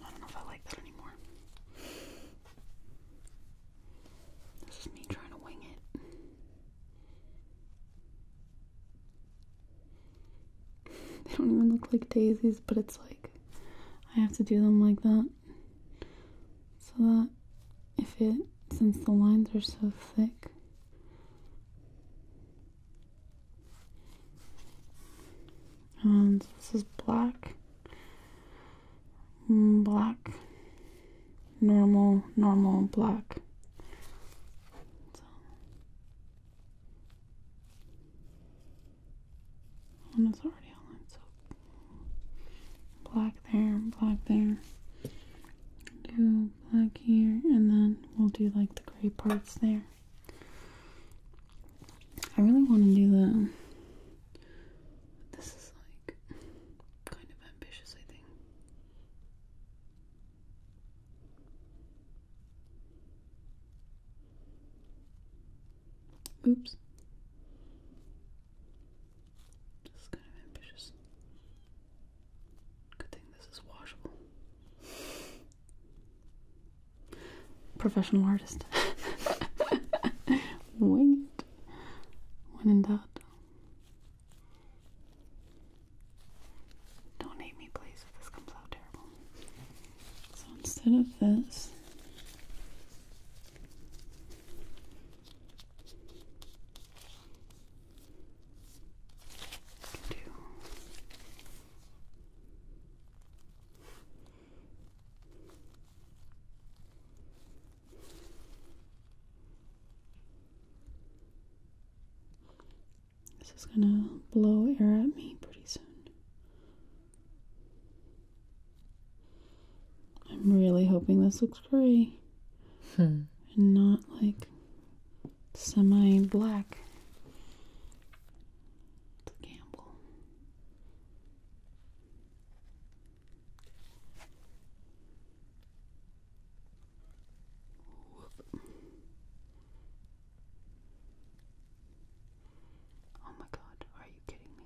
I don't know if I like that anymore. This is me trying to wing it. They don't even look like daisies, but it's like I have to do them like that so that if it, since the lines are so thick, and um, this is black, mm, black, normal, normal, black. So. And it's already online, so black there, black there. Do black here, and then we'll do like the gray parts there. I really want to do the. This is like kind of ambitious, I think. Oops. This is kind of ambitious. Good thing this is washable. Professional artist. Wing it. When in doubt. Don't hate me, please, if this comes out terrible. So instead of this, do this is gonna blow air at me pretty soon. I'm really hoping this looks gray hmm. and not like semi black. To gamble. Oh my god, are you kidding me?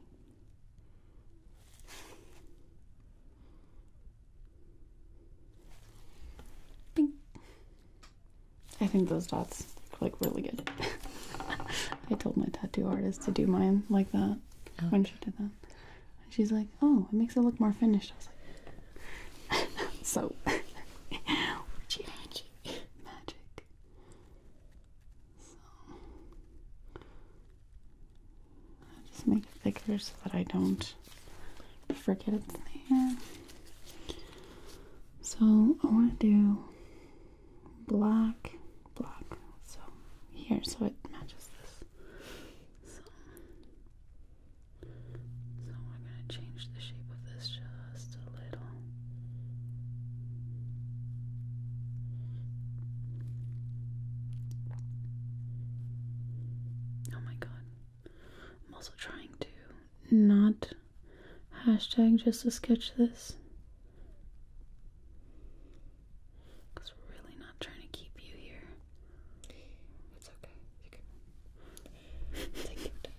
I think those dots look like really good. I told my tattoo artist to do mine like that oh. when she did that. And she's like, "Oh, it makes it look more finished." I was like, "So, magic, magic." So, I just make it thicker so that I don't forget it's there. So I want to do black, black. So here, so it matches this. So, we're gonna change the shape of this just a little. Oh my god. I'm also trying to not hashtag just to sketch this. Because we're really not trying to keep you here. It's okay. take your time.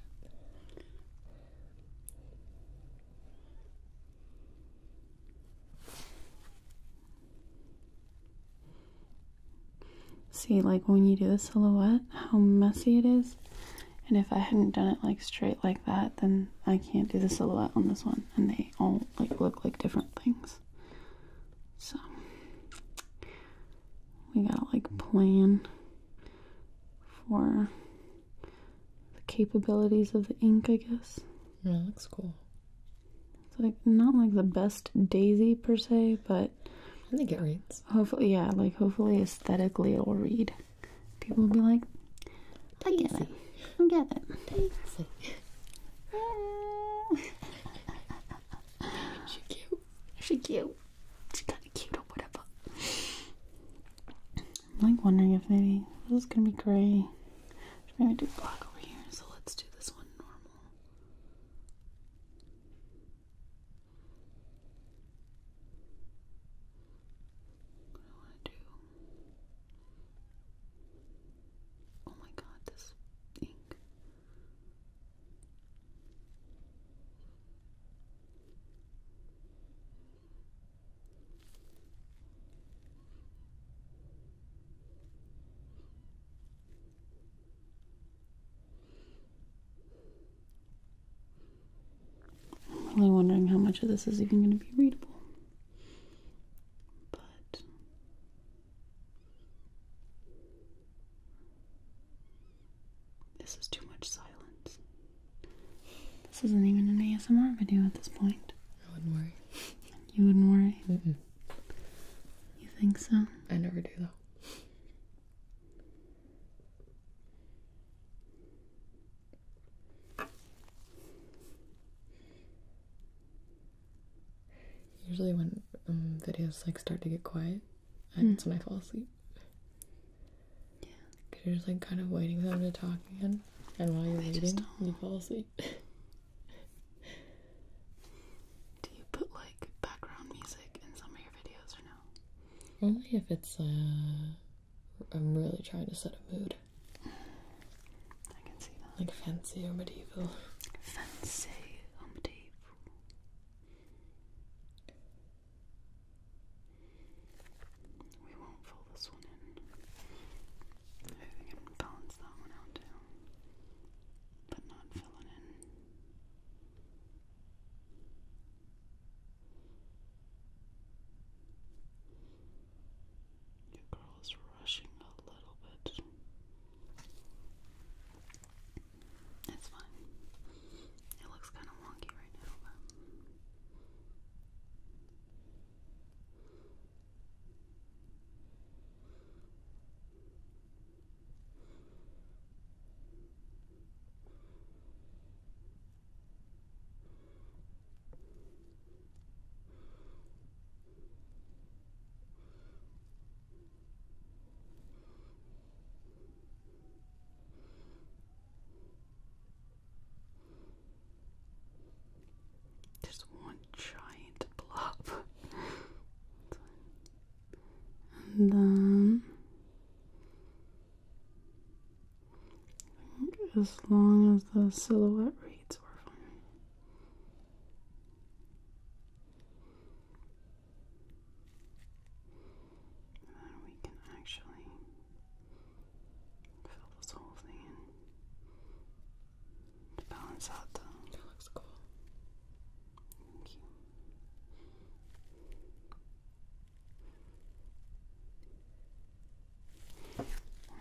See, like when you do the silhouette, how messy it is. And if I hadn't done it like straight like that, then I can't do the silhouette on this one. And they all like look like different things. So we gotta like plan for the capabilities of the ink, I guess. Yeah, looks cool. It's like not like the best daisy per se, but I think it reads. Hopefully, yeah, like hopefully aesthetically it'll read people will be like, I get it. I get it. she cute. She cute. She kind of cute or whatever. I'm like wondering if maybe this is gonna be grey. Should maybe do black over here. So let's do this one normal. What I want to do. Oh my god, this ink. I'm really wondering how much of this is even going to be readable. But this is too much silence. This isn't even an ASMR video at this point. I wouldn't worry. You wouldn't worry? You think so? I never do, though. Usually when um, videos like start to get quiet, that's hmm. mm. when I fall asleep. Yeah. you you're just like kind of waiting for them to talk again, and while you're waiting, you fall asleep. Do you put like background music in some of your videos or no? Only if it's a. Uh, I'm really trying to set a mood. Like fancy or medieval. Fancy medieval. We won't fold this one in. we can balance that one out too. But not fill it in. Your girl is rushing a little bit. It's fine. It looks kind of wonky right now, but. There's one giant blob. and then as long as the silhouette reads are fine. then we can actually fill this whole thing in to balance out the. That looks cool.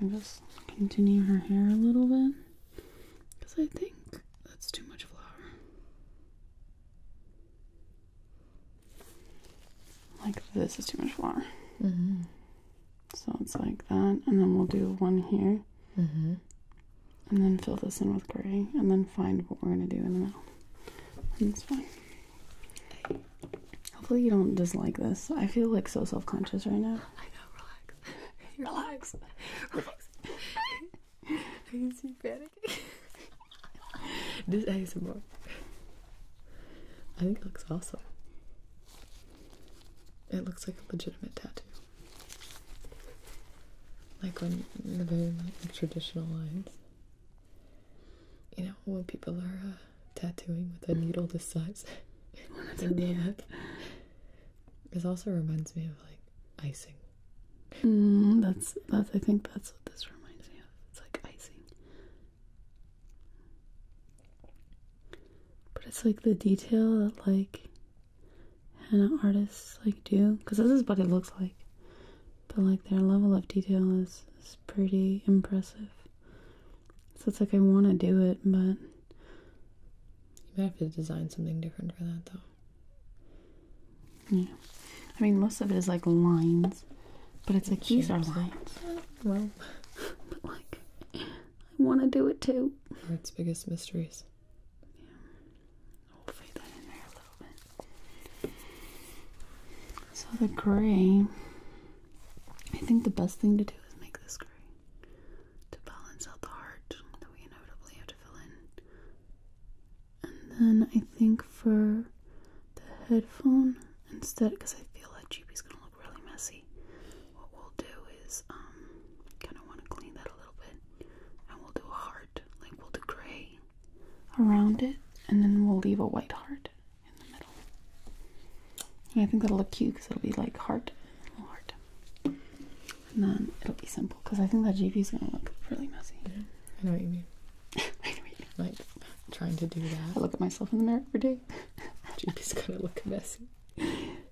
I'm just continue her hair a little bit because I think that's too much flour. Like this is too much flour. Mm -hmm. So it's like that, and then we'll do one here, mm -hmm. and then fill this in with gray, and then find what we're gonna do in the middle. And it's Hopefully you don't dislike this. I feel like so self-conscious right now. I know, relax. Relax. Relax. Are you see panicking. this ASMR. I think it looks awesome. It looks like a legitimate tattoo. Like when the very like, traditional lines you know, when people are uh, tattooing with a needle this size. it's also reminds me of like icing. Mm, that's that's I think that's what this reminds me of. It's like icing. But it's like the detail that like henna artists like do because this is what it looks like. But like their level of detail is, is pretty impressive. So it's like I want to do it, but. You might have to design something different for that, though. Yeah. I mean, most of it is like lines, but it's like these are lines. Well, but like, I want to do it too. Art's biggest mysteries. Yeah. i that in there a little bit. So the gray. I think the best thing to do is make this gray to balance out the heart that we inevitably have to fill in. And then I think for the headphone, instead, because I feel that GP's gonna look really messy, what we'll do is um, kind of want to clean that a little bit, and we'll do a heart, like we'll do gray around it, and then we'll leave a white heart in the middle. I think that'll look cute because it'll be like heart, little heart. And then it'll be simple because I think that GP is going to look really messy. I know what you mean. Like trying to do that. I look at myself in the mirror every day. G P is going to look messy.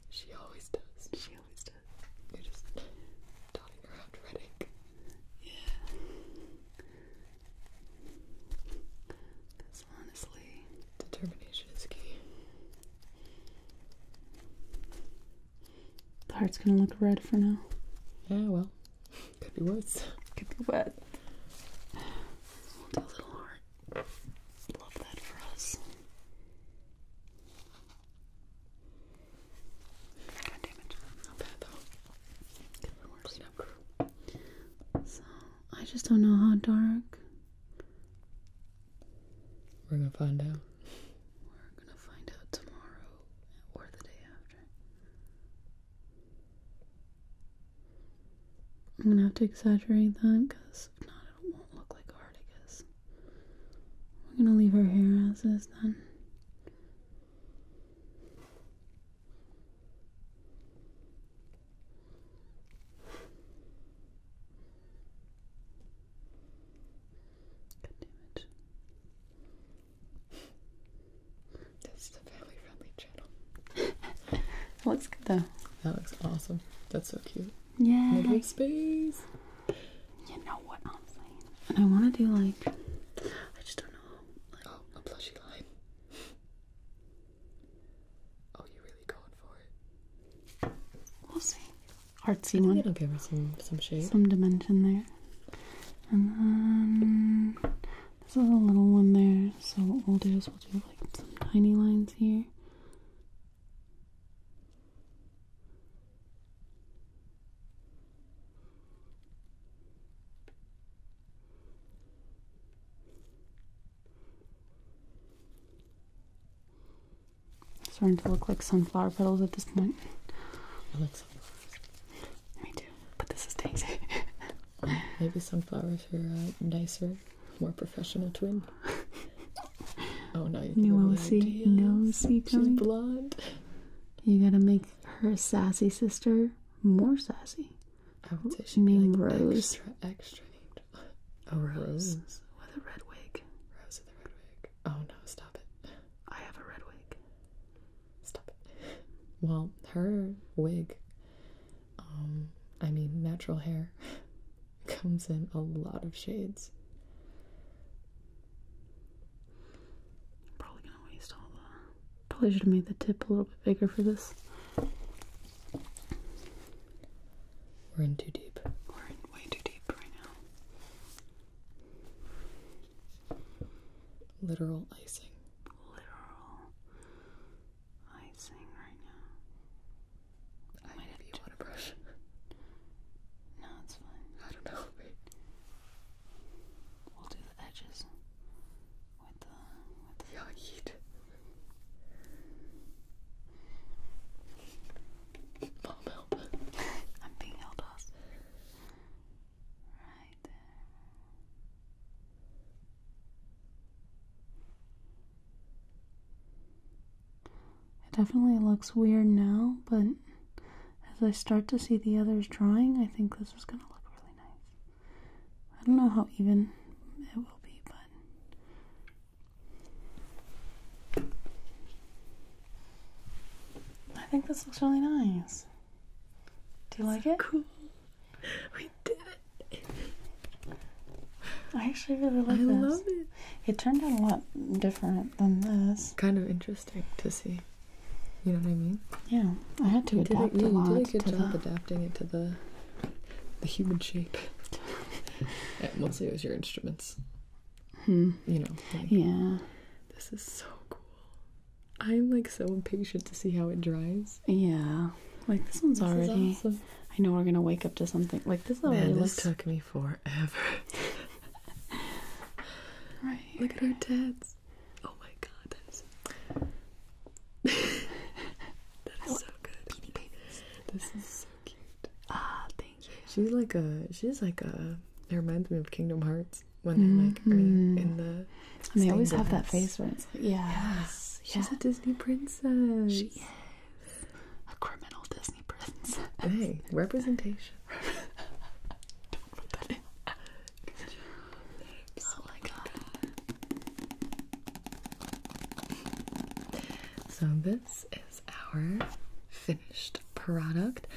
She always does. She always does. just dotting around red Yeah. Because honestly, determination is key. The heart's gonna look red for now. Yeah, well, could be worse. Could be wet. little heart. Love that for us. God damn it. Not bad though. Could be worse. So I just don't know how dark. We're gonna find out. We're gonna find out tomorrow or the day after. I'm gonna have to exaggerate that because if not, it won't look like Articus. We're gonna leave her hair as is then. Good damage. This is a family friendly channel. looks good though. That looks awesome. That's so cute. Yeah. space. You know what I'm saying. And I want to do like, I just don't know. oh, a plushy line. Oh, you really going for it? We'll see. Artsy one. It'll give her some some shape, some dimension there. And then this is a little one there. So what we'll do is we'll do like some tiny lines here. It's starting to look like sunflower petals at this point. I Me too, but this is Daisy. Um, maybe sunflowers are uh, nicer, more professional twin. oh no, you no see, no see coming. She's blonde. You gotta make her sassy sister more sassy. I would say name like Rose. Extra, extra named. Oh, Rose. with a red wig. Rose with a red wig. Oh no, stop it. I have a red wig. Stop it. Well, her wig, um, I mean, natural hair comes in a lot of shades. Probably gonna waste all the. Probably should have made the tip a little bit bigger for this. We're in too deep. We're in way too deep right now. Literal icing. Literal icing right now. I Might have you want a brush. No, it's fine. I don't know. We'll do the edges with the with the yogurt. Mom help I'm being held off. Right there. It definitely looks weird now, but as I start to see the others drawing, I think this is gonna look really nice. I don't know how even it will be, but I think this looks really nice. Do you like it? Cool. We did it. I actually really like this. I love it. It turned out a lot different than this. Kind of interesting to see. You know what I mean? Yeah, I had to adapt a lot. it to the the human shape. yeah, mostly it was your instruments. Hmm. You know. yeah. This is so cool. I'm like so impatient to see how it dries. Yeah. Like this one's already. I know we're gonna wake up to something like this. Already Man, this took me forever. right. Look at our dads. Oh my god, that's that is so good. This is so cute. Ah, thank you. She's like a. She's like a. It reminds me of Kingdom Hearts when mm -hmm. like in the. they always have that face where it's like, yeah. Yes. She's a Disney princess. She a criminal Disney princess. Hey, representation. Oh my god. So this is our finished product.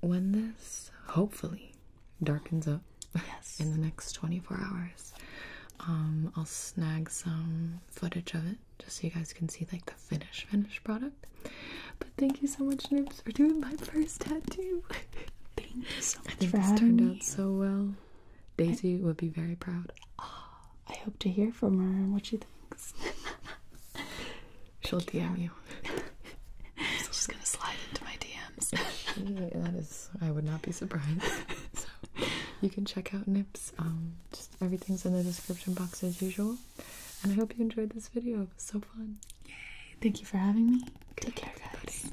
When this hopefully darkens up in the next 24 hours, um, I'll snag some footage of it just so you guys can see like the finished finished product. But thank you so much, Noops, for doing my first tattoo. thank you so much I think for this turned out so well. Daisy would be very proud. I hope to hear from her and what she thinks. She'll DM you. you. She's gonna slide into my DMs. that is, I would not be surprised. so you can check out Nips. Um, everything's in the description box as usual. And I hope you enjoyed this video. It was so fun. Yay! Thank you for having me. Take care, guys.